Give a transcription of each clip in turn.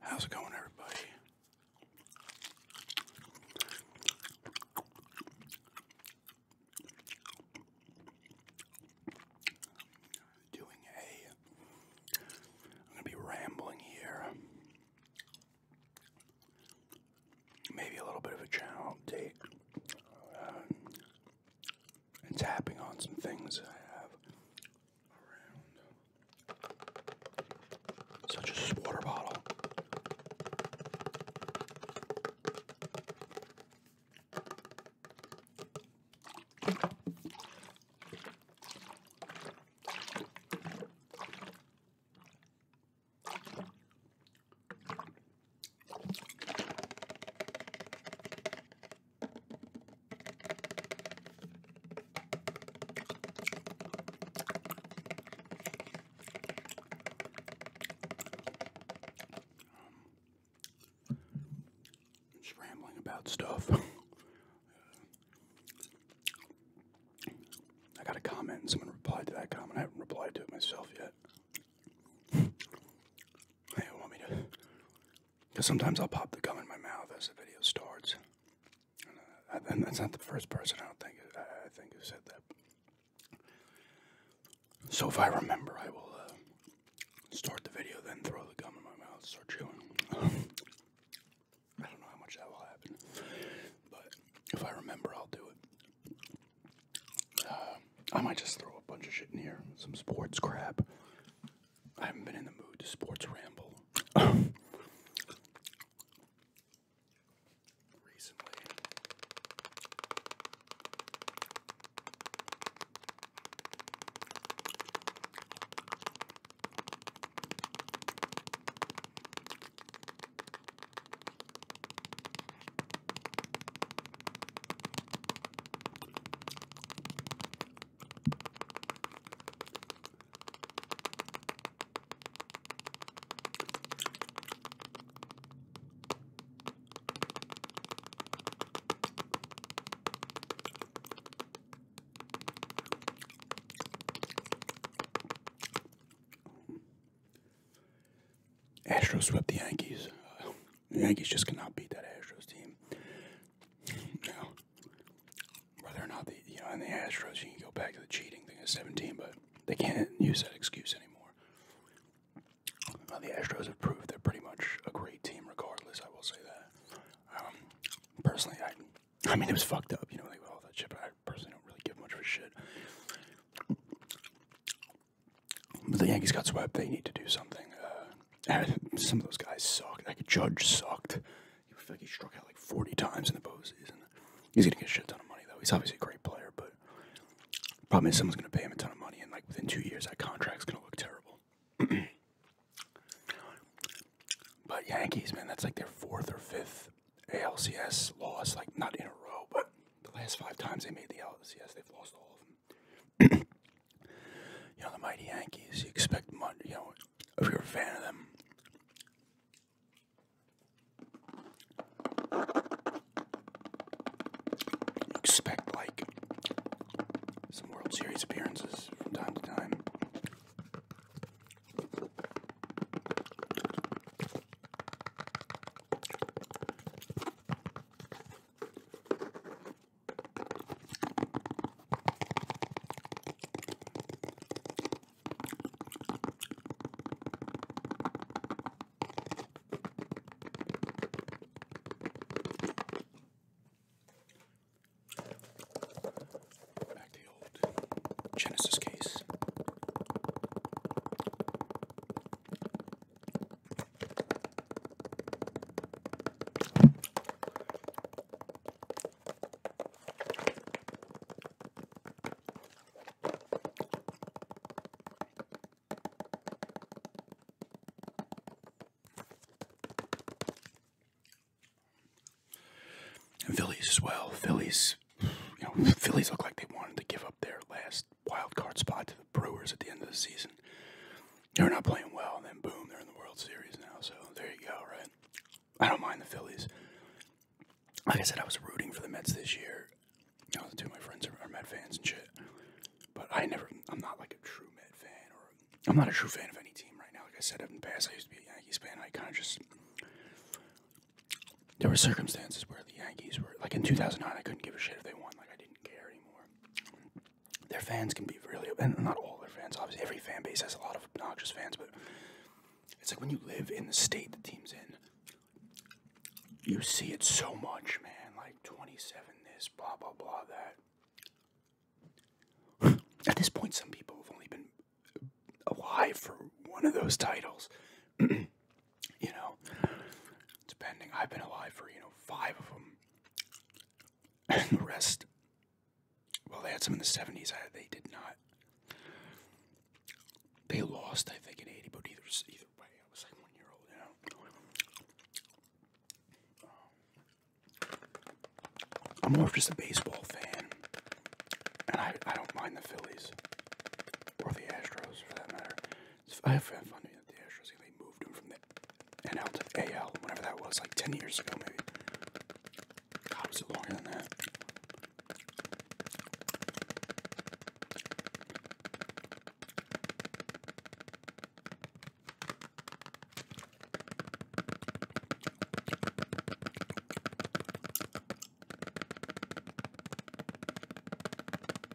How's it going, everybody? Doing a. I'm gonna be rambling here. Maybe a little bit of a channel update and tapping on some things I have around, such as water bottle. Um, just rambling about stuff. I got a comment someone replied to that comment. I haven't replied to it myself yet. They want me to because sometimes I'll pop the gum in my mouth as the video starts. And, uh, that's not the first person I don't think I, think who said that. So if I remember, I will uh, start the video, then throw the gum in my mouth, start chewing. I don't know how much that will happen, but if I remember, I'll do it. Uh, I might just throw a bunch of shit in here. Some sports crap. I haven't been in the mood to sports ramble recently. Astros swept the Yankees. Yankees just cannot beat that Astros team. Now, whether or not the you know, in the Astros, you can go back to the cheating thing of 17, but they can't use that excuse anymore. the Astros have proved they're pretty much a great team, regardless. I will say that. Um, personally, I, I mean, it was fucked up, you know, like, with all that shit. But I personally don't really give much for shit the Yankees got swept. They need to do something. Uh, some of those guys sucked. Like Judge sucked. He was like he struck out like 40 times in the postseason. He's gonna get a shit ton of money though. He's obviously a great player, but problem is someone's gonna pay him a ton of money, and like within two years that contract's gonna look terrible. but Yankees, man, that's like their fourth or fifth ALCS loss. Like not in a row, but the last five times they made the ALCS, they've lost all of them. you know, the mighty Yankees. You expect much, you know, if you're a fan of them. You expect like some World Series appearances from time to time. Back to the old Genesis case. Phillies as well. Phillies, you know, Phillies look like they wanted to give up their last wild card spot to the Brewers at the end of the season they're not playing well, and then boom, they're in the World Series now. So there you go, right? I don't mind the Phillies. Like I said, I was rooting for the Mets this year. You two of my friends are, are fans and shit. But I never, I'm not like a true Met fan, or I'm not a true fan of any team right now. Like I said in the past, I used to be a Yankees fan. I kind of just there were circumstances where the Yankees were like in 2009. I couldn't give a shit if they won. Like I didn't care anymore their fans can be really, and not all their fans, obviously, every fan base has a lot of obnoxious fans, but it's like when you live in the state the team's in, you see it so much, man. Like 27 this, blah, blah, blah, that. At this point, some people have only been alive for one of those titles. you know, depending, I've been alive for, you know, five of them and the rest, well, they had some in the 70s. they did not. They lost, I think, in 80, but either, either way, I was like one year old, you know. Um, I'm more just a baseball fan, and I, I don't mind the Phillies or the Astros for that matter. I have found out at the Astros. They moved him from the NL to AL, whenever that was, like 10 years ago, maybe. God, was it longer than that?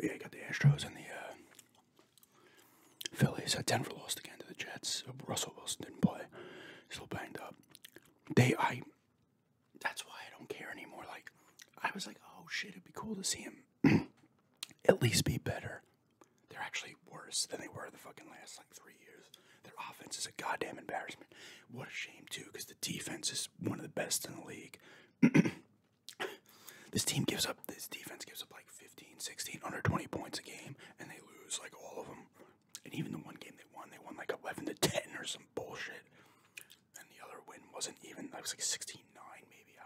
yeah, you got the Astros and the uh, Phillies. Uh, Denver lost again to the Jets. Russell Wilson didn't play; still banged up. They, I, that's why I don't care anymore. Like, I was like, oh shit, it'd be cool to see him at least be better. They're actually worse than they were the fucking last like three years. Their offense is a goddamn embarrassment. What a shame too, because the defense is one of the best in the league. this team gives up, this defense gives up like 15, 16, under 20 points a game, and they lose like all of them and even the one game they won, they won like 11 to 10 or some bullshit. And the other win wasn't even, that was like 16 9, maybe. I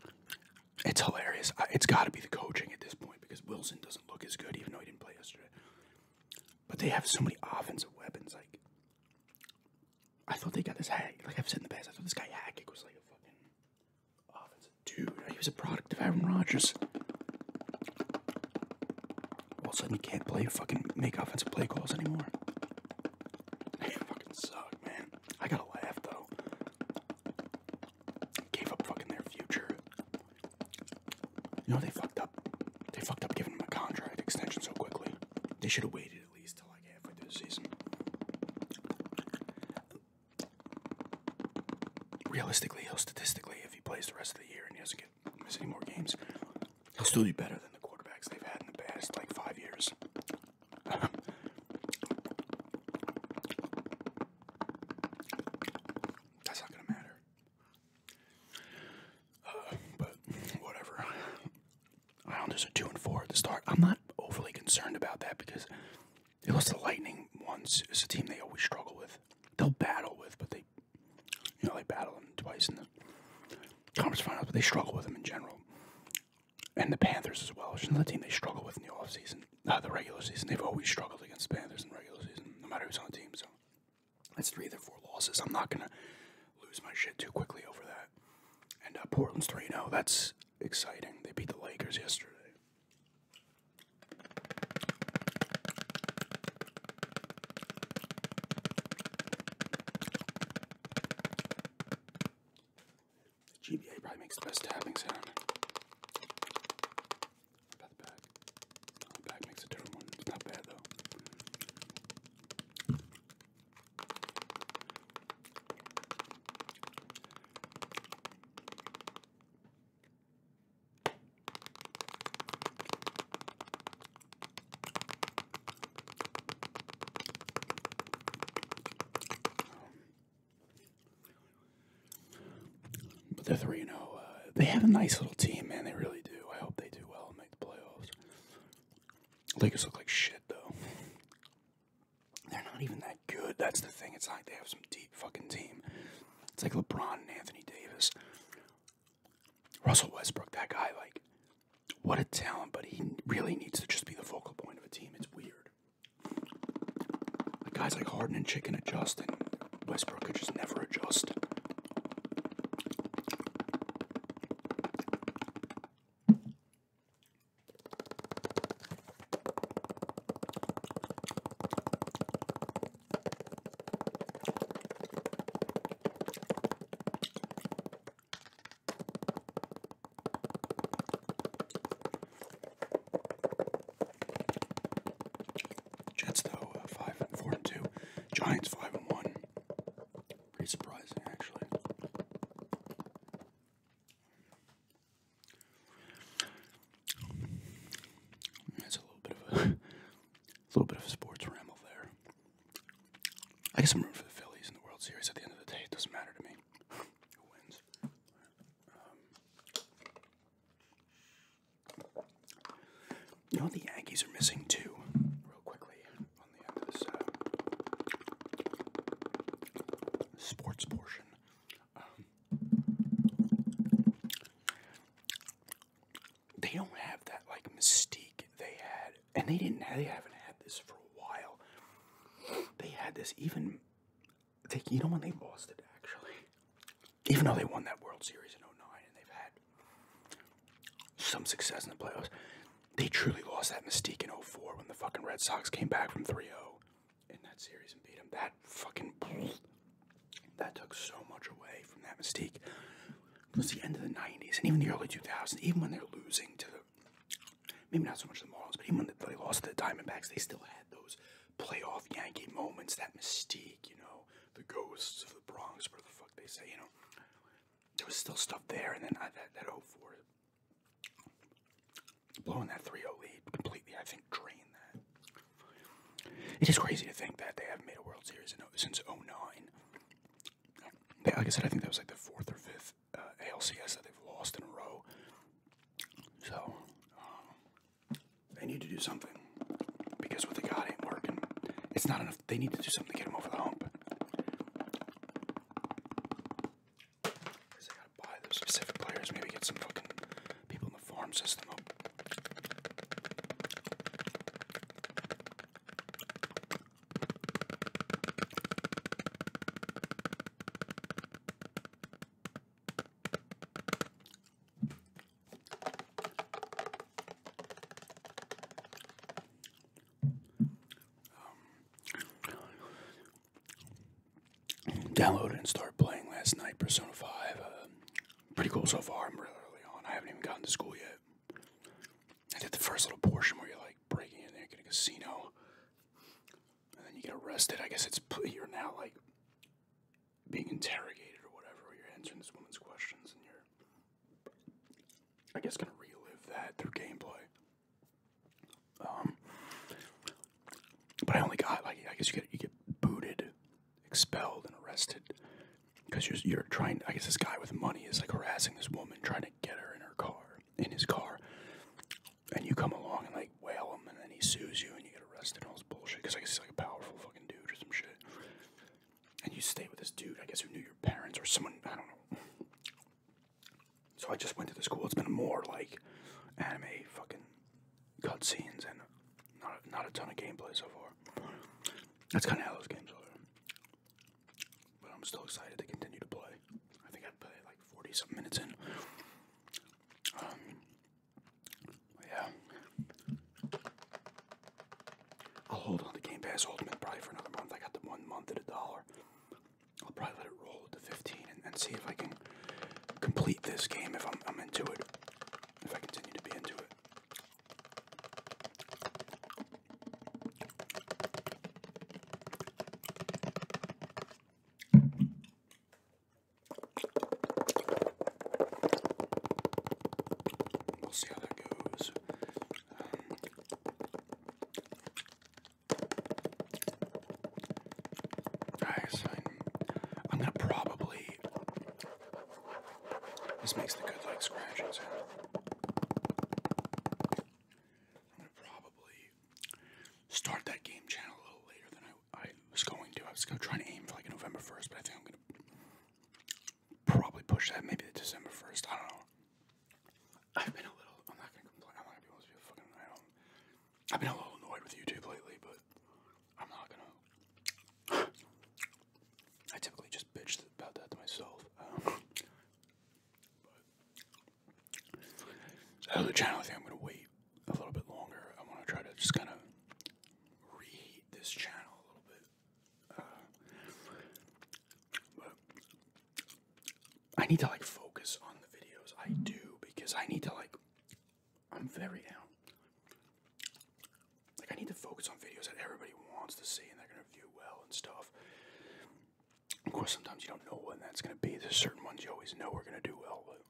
don't know. It's hilarious. I, it's got to be the coaching at this point because Wilson doesn't look as good, even though he didn't play yesterday. But they have so many offensive weapons. Like, I thought they got this hack. Like I've said in the past, I thought this guy Hackett was like a fucking offensive dude. He was a product of Aaron Rodgers. All of a sudden, you can't play fucking make offensive play calls anymore. It fucking suck, man. I gotta laugh though. Gave up fucking their future. You know they fucked up. They fucked up giving him a contract extension so quickly. They should have waited at least till like halfway through the season. Realistically, he'll statistically, if he plays the rest of the year and he doesn't get miss any more games. He'll still be better than the quarterbacks they've had in the past like five years. That's not gonna matter. Uh, but whatever. Islanders are two and four at the start. I'm not overly concerned about that because they lost the Lightning once. It's a team they always struggle with. They'll battle with, but they you know, they battle them twice in the conference finals, but they struggle with them in general. And the Panthers as well. It's another team they struggle with in the offseason, uh, the regular season. They've always struggled against the Panthers in regular season, no matter who's on the team. So that's three of their four losses. I'm not going to lose my shit too quickly over that. And uh, Portland's 3 0. That's exciting. They beat the Lakers yesterday. GBA probably makes the best tapping sound. About the the back makes a different one. It's not bad though. But they three and zero. Oh, uh, they have a nice little team, man. They really do. I hope they do well and make the playoffs. Lakers look like shit, though. They're not even that good. That's the thing. It's like they have some deep fucking team. It's like LeBron and Anthony Davis. Russell Westbrook, that guy, like, what a talent, but he really needs to just be the focal point of a team. It's weird. Like guys like Harden and Chicken adjust, and Westbrook could just never adjust. Jets though uh, five and four and two. Giants five and one. Pretty surprising actually. That's a little bit of a, little bit of a sports ramble there. I get some room for the Phillies in the World Series. At the end of the day, it doesn't matter to me who wins. Um, you know the Yankees are missing too. Real quickly on the uh, sports portion. Um, they don't have that like mystique they had, and they didn't. They haven't had this for a while. They had this even. They, you know when they lost it actually, even though they won that World Series in 09 and they've had some success in the playoffs, they truly lost that mystique in 04 when the fucking Red Sox came back from 3-0 in that series and beat them. That fucking that took so much away from that mystique. It was the end of the 90s and even the early 2000s, even when they're losing to maybe not so much the Marlins, but even when they lost to the Diamondbacks, they still had those playoff Yankee moments, that mystique, you know, the ghosts of the Bronx, whatever the fuck they say, you know. There was still stuff there, and then that, that 0 4 blowing that 3 0 lead completely, I think and drain It is crazy to think that they haven't made a World Series in, since 09. Like I said, I think that was like the fourth or fifth uh, ALCS that they've lost in a row. So, um, they need to do something because what they got ain't working. It's not enough. They need to do something to get them over the hump. Because they gotta buy those specific players, maybe get some fucking Download and start playing last night Persona 5. Uh, Pretty cool so far. I'm really early on. I haven't even gotten to school yet. I did the first little portion where you're like breaking in there, get a casino, and then you get arrested. I guess it's you're now like being interrogated or whatever. you're answering this woman's questions, and you're, I guess, gonna relive that through gameplay. Um, but I only got like I guess you get you get booted expelled and arrested because you're, you're trying. I guess this guy with money is like harassing this woman, trying to get her in her car, in his car, and you come along and like whale him, and then he sues you, and you get arrested and all this bullshit. Because I guess like a powerful fucking dude or some shit, and you stay with this dude, I guess who knew your parents or someone. I don't know. So I just went to the school. It's been more like anime fucking cutscenes and not not a ton of gameplay so far. That's kind of how those games are. But I'm still excited to continue to play. I think I played like 40 some minutes in. Um, yeah. I'll hold on to Game Pass Ultimate probably for another month. I got the one month at a dollar. I'll probably let it roll to 15 and, and see if I can complete this game if I'm, I'm into it if I continue to be into it. We'll see how that goes. Um, I'm gonna probably this makes the good like scratching sound. I'm gonna probably start that game channel a little later than I, I was going to. I was gonna try to aim for like November 1st, but I think I'm gonna probably push that maybe to December 1st. I don't know. I've been a little, I'm not gonna complain, I'm not going to be a fucking, I don't, I've been a little annoyed with YouTube lately, but I'm not gonna. I typically just bitch about that to myself. Um, but the channel, I I'm gonna wait a little bit longer. I want to try to just kind of reheat this channel a little bit. Uh, but I need to like focus on the videos I do because I need to like I'm very down. Like I need to focus on videos that everybody wants to see and they're gonna view well and stuff. Of course, sometimes you don't know when that's gonna be. There's certain ones you always know are gonna do well, but.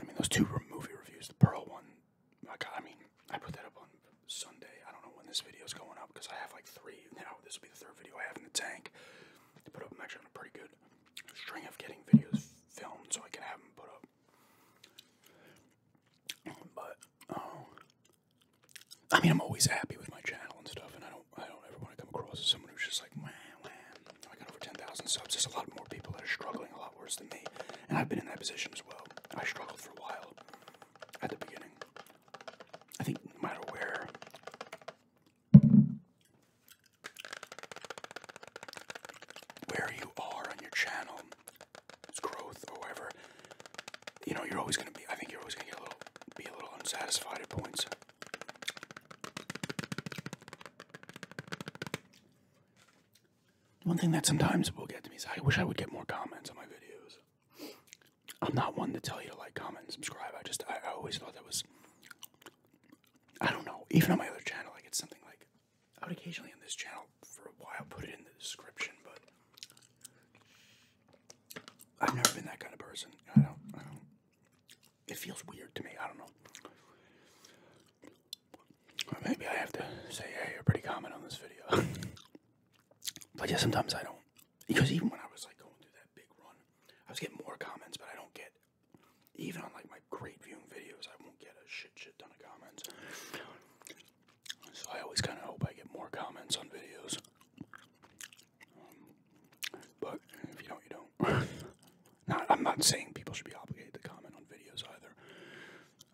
I mean, those two movie reviews, the Pearl one, I, got, I mean, I put that up on Sunday. I don't know when this video is going up because I have like three now. This will be the third video I have in the tank. I put up, I'm actually on a pretty good string of getting videos filmed so I can have them put up. But um, I mean, I'm always happy with my channel and stuff, and I don't, I don't ever want to come across as someone who's just like, wah, wah. I got over 10,000 subs. There's a lot more people that are struggling a lot worse than me, and I've been in that position as well. I struggled for a while at the beginning. I think no matter where where you are on your channel, it's growth or you know, you're always gonna be. I think you're always gonna get a little, be a little unsatisfied at points. One thing that sometimes will get to me is I wish I would get more comments on my videos. I'm not one to tell you to like, comment, and subscribe. I just I always thought that was I don't know. Even on my other channel, I get something like I would occasionally on this channel for a while put it in the description, but I've never been that kind of person. I don't. It feels weird to me. I don't know. maybe I have to say, hey, you're pretty common on this video. but yeah, sometimes I don't. Because even when I was like going through that big run, I was getting more comments, but I don't get even on like my great viewing videos, I won't get a shit shit ton of comments. So I always kind of hope I get more comments on videos. Um, but if you don't, you don't. not, you do not i am not saying people should be obligated to comment on videos either.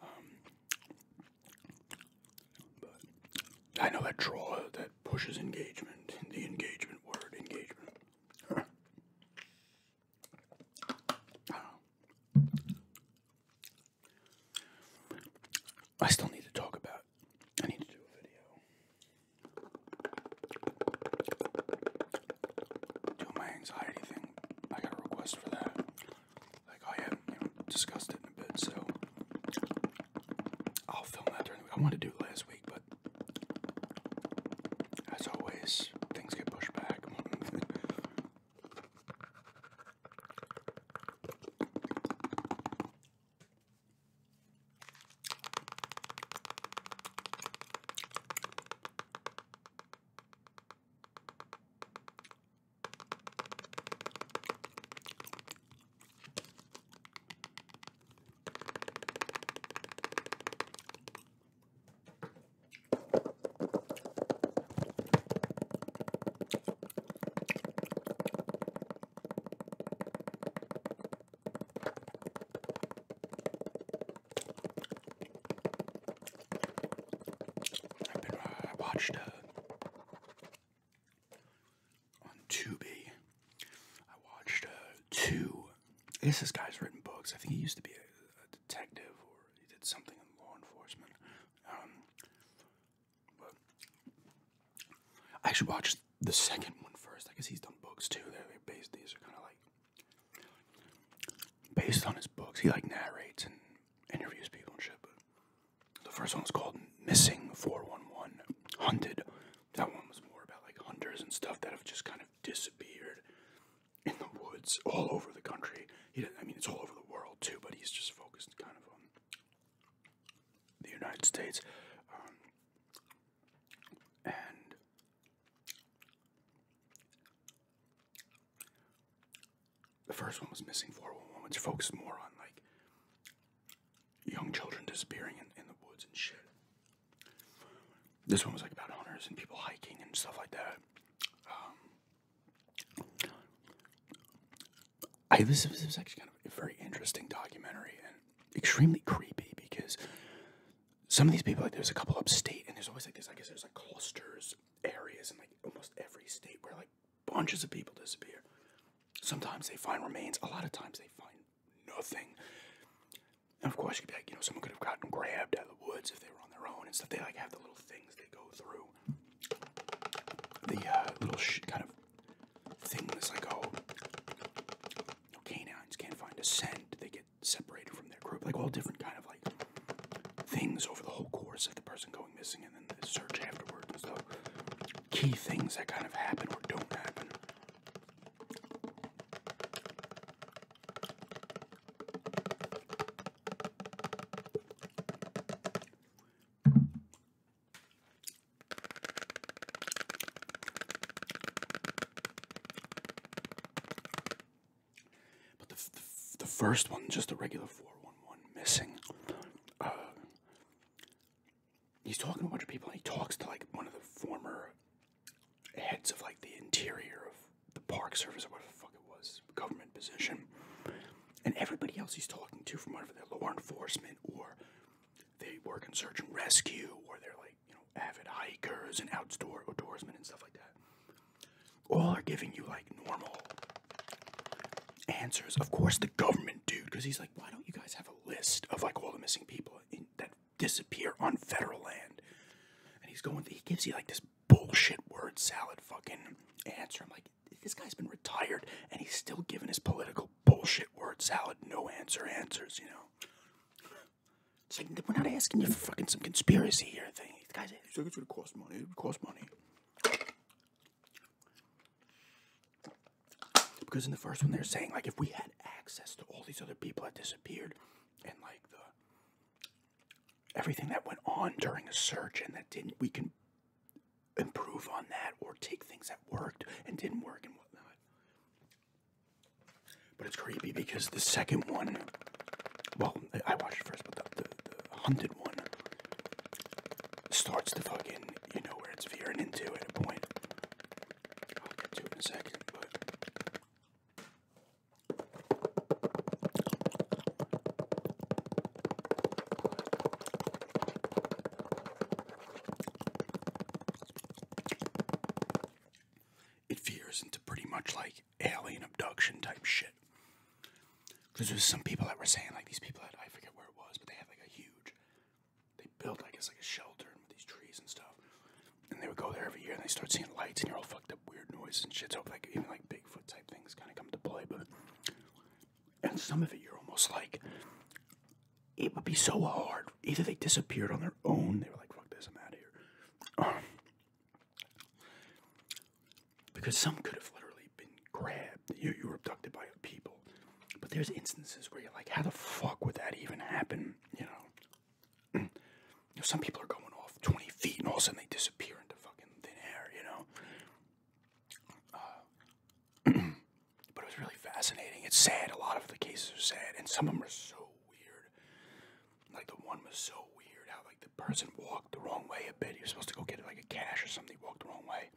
Um, but I know that troll that pushes engagement, the engagement word, engagement. I still need to talk about. I need to do a video. Do my anxiety thing. I got a request for that. Like I haven't you discussed it in a bit, so I'll film that during I want to do it last week but as always, things get pushed back. I've been, uh, I watched uh, on Tubi I watched uh, two. I guess this guy's written books. I think he used to be a, detective or he did something in law enforcement. Um, but I should watch the second one first. I guess he's done books too. They're, based. These are kind of like based on his books. He like narrates and interviews people and shit. But the first one was called "Missing 411: Hunted that one was more about like hunters and stuff that have just kind of disappeared in the woods all over the country. He I mean, it's all over the world too, but he's just focused kind of on the United States. Um, and the first one was missing 411, which focused more on like young children disappearing in, in the woods and shit. This one was like about hunters and people hiking and stuff like that. Um, I this, this was actually kind of a very interesting documentary and extremely creepy because some of these people like there's a couple upstate and there's always like this I guess there's like clusters areas in like almost every state where like bunches of people disappear. Sometimes they find remains, a lot of times they find nothing. And of course, you could be like, you know, someone could have gotten grabbed out of the woods if they were on their own and stuff. They like have the little things they go through. The uh, little sh- kind of thing that's like, oh, no, canines can't find a scent. They get separated from their group. Like all different kind of like things over the whole course of the person going missing and then the search afterwards and stuff. Key things that kind of happen or don't happen. But the, the, first one, just a regular 411 missing. Uh, he's talking to a bunch of people and he talks to like one of the former heads of like the interior of the park service or whatever the fuck it was, government position. And everybody else he's talking to from one of are law enforcement or they work in search and rescue or they're like, you know, avid hikers and outdoor outdoorsmen and stuff like that. All are giving you like normal answers. Of course the government dude, because he's like, why don't you guys have a list of like all the missing people in that disappear on federal land. And he's going, he gives you like this bullshit word salad fucking answer. I'm like, this guy's been retired and he's still giving his political bullshit word salad, no answer answers, you know? It's like, we're not asking you fucking some conspiracy here thing. The guy's he's like, it's gonna cost money, it would cost money. Because in the first one, they're saying, like, if we had access to all these other people that disappeared and, like, the everything that went on during a search and that didn't, we can improve on that or take things that worked and didn't work and whatnot. But it's creepy because the second one, well, I watched it first, but the, the hunted one starts to fucking, you know where it's veering into at a point it veers into pretty much like alien abduction type shit. Because there's some people that were saying, like, these people had I forget where it was, but they had like a huge they built, I guess, like a shelter with these trees and stuff. And they would go there every year, and they start seeing lights and you're all fucked up, weird noises and shit. So like even like Bigfoot type things kind of come to play, but and some of it you're almost like it would be so hard. Either they disappeared on their own, they were like, "Fuck this, I'm out of here," um, because some could have literally been grabbed. You you were abducted by people, but there's instances where you're like, "How the fuck would that even happen?" you know, some people are going off 20 feet and all of a sudden they disappear into fucking thin air, you know. Uh, but it was really fascinating. It's sad. A lot of the cases are sad, and some of them are so weird. Like the one was so weird how like the person walked the wrong way a bit. He was supposed to go get like a cash or something. He walked the wrong way.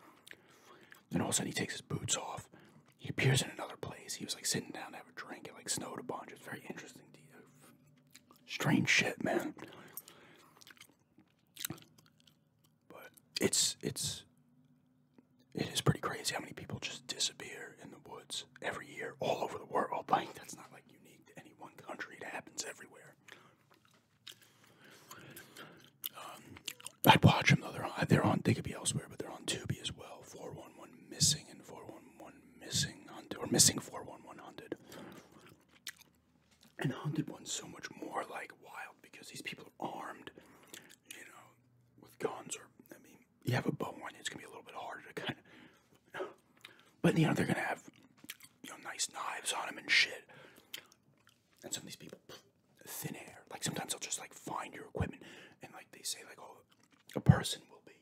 Then all of a sudden he takes his boots off he appears in another place. He was like sitting down to have a drink. It like snowed a bunch. It's very interesting. Strange shit, man. But it's it's it is pretty crazy how many people just disappear in the woods every year, all over the world. Like that's not like unique to any one country. It happens everywhere. Um, I'd watch them though. They're on. They're on. They could be elsewhere, but they're on Tubi as well. Four one one missing in 411 missing hunted or missing 411 hunted and hunted one's so much more like wild because these people are armed you know with guns or i mean you have a bow and it's gonna be a little bit harder to kind of but you know they're gonna have you know nice knives on them and shit and some of these people thin air like sometimes they'll just like find your equipment and like they say like oh a person will be.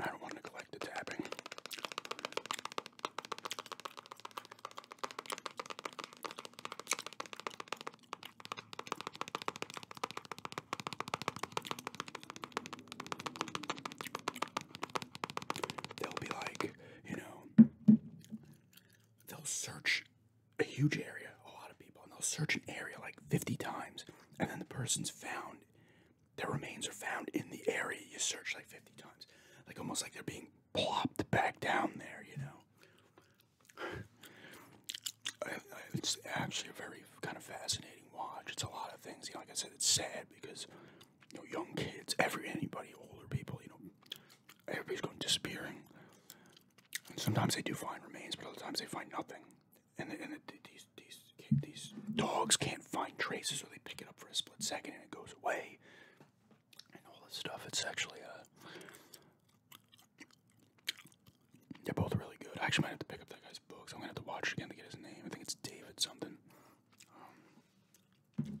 I don't want to neglect the tapping. They'll be like, you know, they'll search a huge area, a lot of people, and they'll search an area like 50 times, and then the person's found, their remains are found in the area you search like 50 times. Like almost like they're being plopped back down there, you know? it's actually a very kind of fascinating watch. It's a lot of things. You know, like I said, it's sad because, you know, young kids, every anybody, older people, you know, everybody's going disappearing. sometimes they do find remains, but other times they find nothing. And, and these, these, these dogs can't find traces, so they pick it up for a split second and it goes away. And all this stuff. It's actually, a. Uh, they're both really good. I actually might have to pick up that guy's books. I'm going to have to watch it again to get his name. I think it's David something. Um,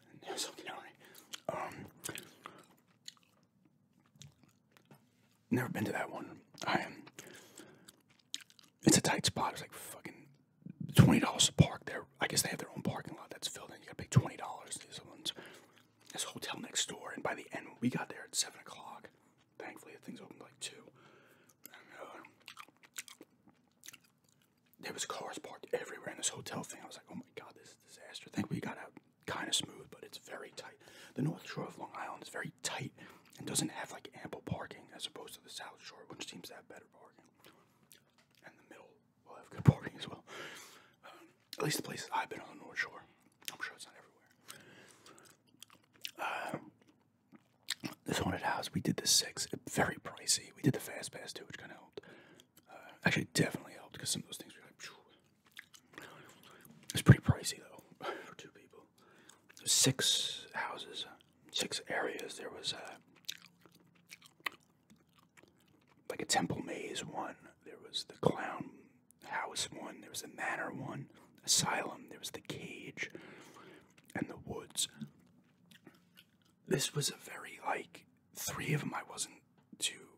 Um, never been to that one. I It's a tight spot. It's like fucking twenty dollars to park there. I guess they have their own parking lot that's filled in. You gotta pay twenty dollars. These ones. This hotel next door, and by the end we got there at seven o'clock. Thankfully, the thing's opened like two. Uh, there was cars parked everywhere in this hotel thing. I was like, oh my god, this is a disaster. Thank we got out kind of smooth, but it's very tight. The North Shore of Long Island is very tight and doesn't have like ample parking as opposed to the South Shore, which seems to have better parking. And the middle will have good parking as well. Um, at least the places I've been on the North Shore. I'm sure it's not everywhere. Um, this haunted house, we did the six, very pricey. We did the fast pass too, which kind of helped. Uh, actually, definitely helped because some of those things were like, it's pretty pricey though for two people. Six houses, six areas. There was a, uh, like a temple maze one. There was the clown house one. There was the manor one. Asylum. There was the cage, and the woods. This was a very like three of them I wasn't too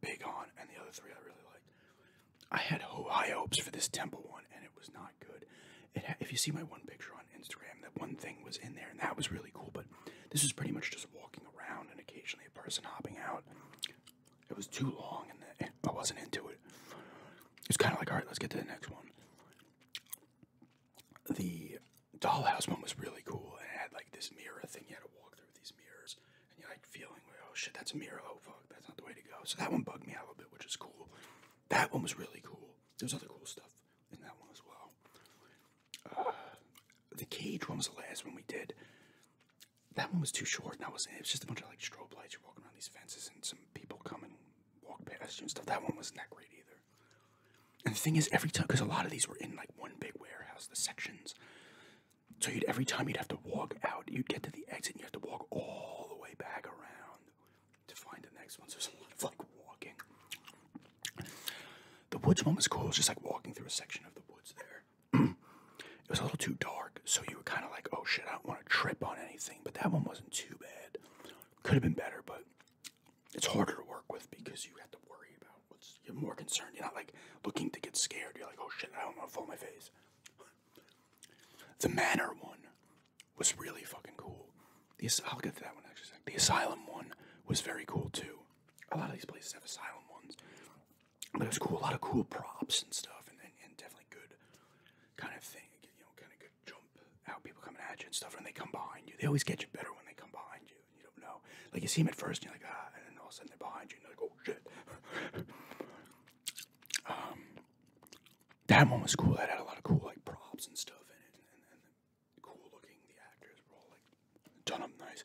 big on, and the other three I really liked. I had high hopes for this temple one, and it was not good. if you see my one picture on Instagram, that one thing was in there, and that was really cool. But this was pretty much just walking around and occasionally a person hopping out. It was too long, and I wasn't into it. It's kind of like, all right, let's get to the next one. The Dollhouse one was really cool, and it had like this mirror thing. You had to walk through these mirrors, and you're like feeling, like, oh shit, that's a mirror. Oh fuck, that's not the way to go. So that one bugged me out a little bit, which is cool. That one was really cool. There's other cool stuff in that one as well. Uh, the cage one was the last one we did. That one was too short, and I was it was just a bunch of like strobe lights. You're walking around these fences, and some people come and walk past you and stuff. That one wasn't that great either. And the thing is, every time, because a lot of these were in like one big warehouse, the sections. So you'd every time you'd have to walk out, you'd get to the exit, and you have to walk all the way back around to find the next one. So it's a lot of like walking. The woods one was cool. It was just like walking through a section of the woods there. it was a little too dark, so you were kind of like, oh shit, I don't want to trip on anything. But that one wasn't too bad. Could have been better, but it's harder to work with because you have to worry about what's you're more concerned. You're not like looking to get scared. You're like, oh shit, I don't want to fall my face. The manor one was really fucking cool. The, I'll get to that one actually. The asylum one was very cool too. A lot of these places have asylum ones, but it was cool. A lot of cool props and stuff, and, and, definitely good kind of thing. You know, kind of good jump out people coming at you and stuff, and they come behind you. They always get you better when they come behind you you don't know. Like you see him at first and you're like, ah, and then all of a sudden they're behind you and you're like, oh shit. Um, that one was cool. That had a lot of cool like props and stuff in it, and, then cool looking. The actors were all like done up nice.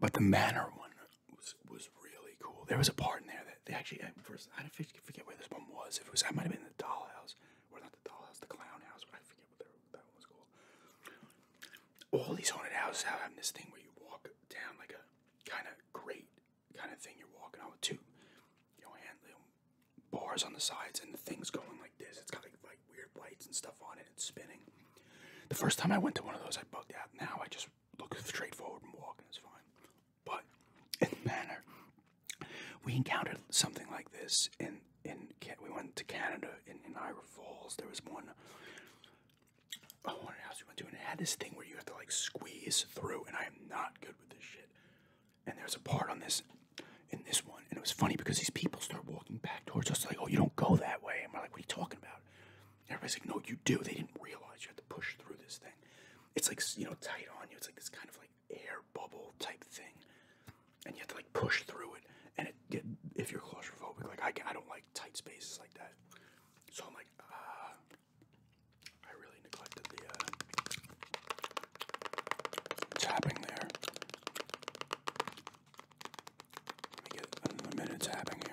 But the manor one was was really cool. There was a part in there that they actually first I forget where this one was. If it was, I might have been the dollhouse, or not the dollhouse, the Clownhouse. house. I forget yeah, but that one was cool. All these haunted houses have this thing where you walk down like a kind of great kind of thing. You're walking on with two, you know, and bars on the sides and thing's going like this. It's got like, weird lights and stuff on it. It's spinning. The first time I went to one of those, I bugged out. Now I just look straight forward and walk, and it's fine. But in Manor, we encountered something like this in in we went to Canada in, in Ira Falls. There was one I want to ask you went to, and it had this thing where you have to like squeeze through, and I am not good with this shit. And there's a part on this in this one, and it was funny because these people start walking back towards us, like, "Oh, you don't go that way," and we're like, "What are you talking about?" everybody's like, "No, you do." They didn't realize you have to push through this thing. It's like you know tight on you. It's like this kind of like air bubble type thing, and you have to like push through it. And it, get if you're claustrophobic, like I can, I don't like tight spaces like that. So I'm like, uh, I really neglected the uh, tapping there. Let me get another minute tapping here.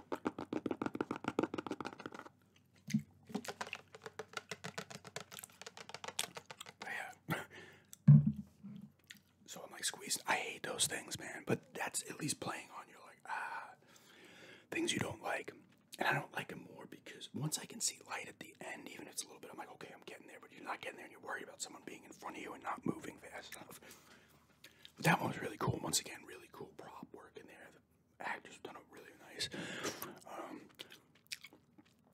so I'm like squeezing. I hate those things, man. But that's at least playing on you. Like ah, things you don't like, and I don't like it more because once I can see light at the end, even if it's a little bit, I'm like, okay, I'm getting there. But you're not getting there, and you're worried about someone being in front of you and not moving fast enough. But that one was really cool. Once again, really cool prop work in there. The actors done it really nice. Um,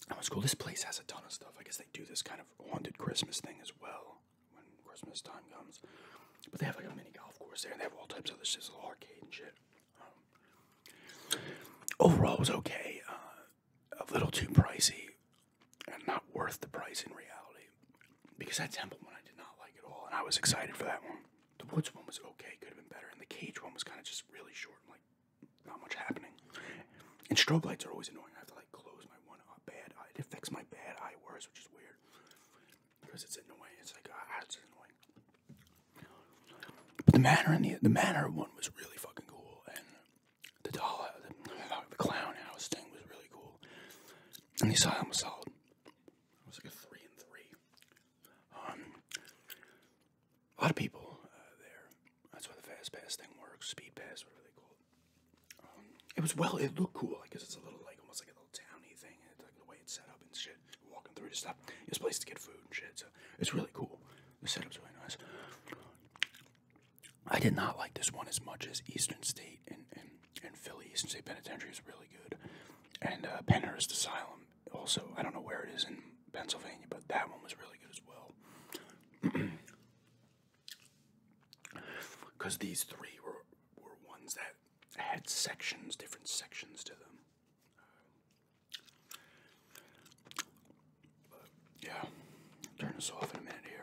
that was cool. This place has a ton of stuff. I guess they do this kind of haunted Christmas thing as well when Christmas time comes. But they have like a mini golf course there, and they have all types of other shit, arcade and shit. Um, overall, was okay. Uh, a little too pricey, and not worth the price in reality because that temple one I did not like at all, and I was excited for that one. The woods one was okay, could have been better, and the cage one was kind of just really short, and like not much happening. And strobe lights are always annoying. I have to like close my one uh, bad eye. It affects my bad eye worse, which is weird because it's annoying. It's like ah, it's annoying. But the manor and the the manor one was really fucking cool, and the doll, the, the clown house thing was really cool, and the asylum was solid. It was like a three and three. Um, a lot of people uh, there. That's why the fast pass thing works, speed pass, whatever they call it. Um, it was well, it looked cool. I guess it's a little like almost like a little towny thing, it's like the way it's set up and shit. Walking through the stuff, This place to get food and shit. So it's really cool. The setup's really nice. I did not like this one as much as Eastern State and, and in Philly. Eastern State Penitentiary is really good. And uh, Pennhurst Asylum, also, I don't know where it is in Pennsylvania, but that one was really good as well. Because these three were, were ones that had sections, different sections to them. yeah, turn this off in a minute here.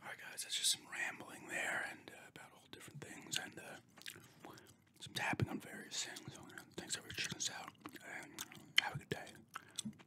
Alright, guys, that's just some rambling there and uh, about all different things and uh, some tapping on various things. thanks for checking us out and have a good day.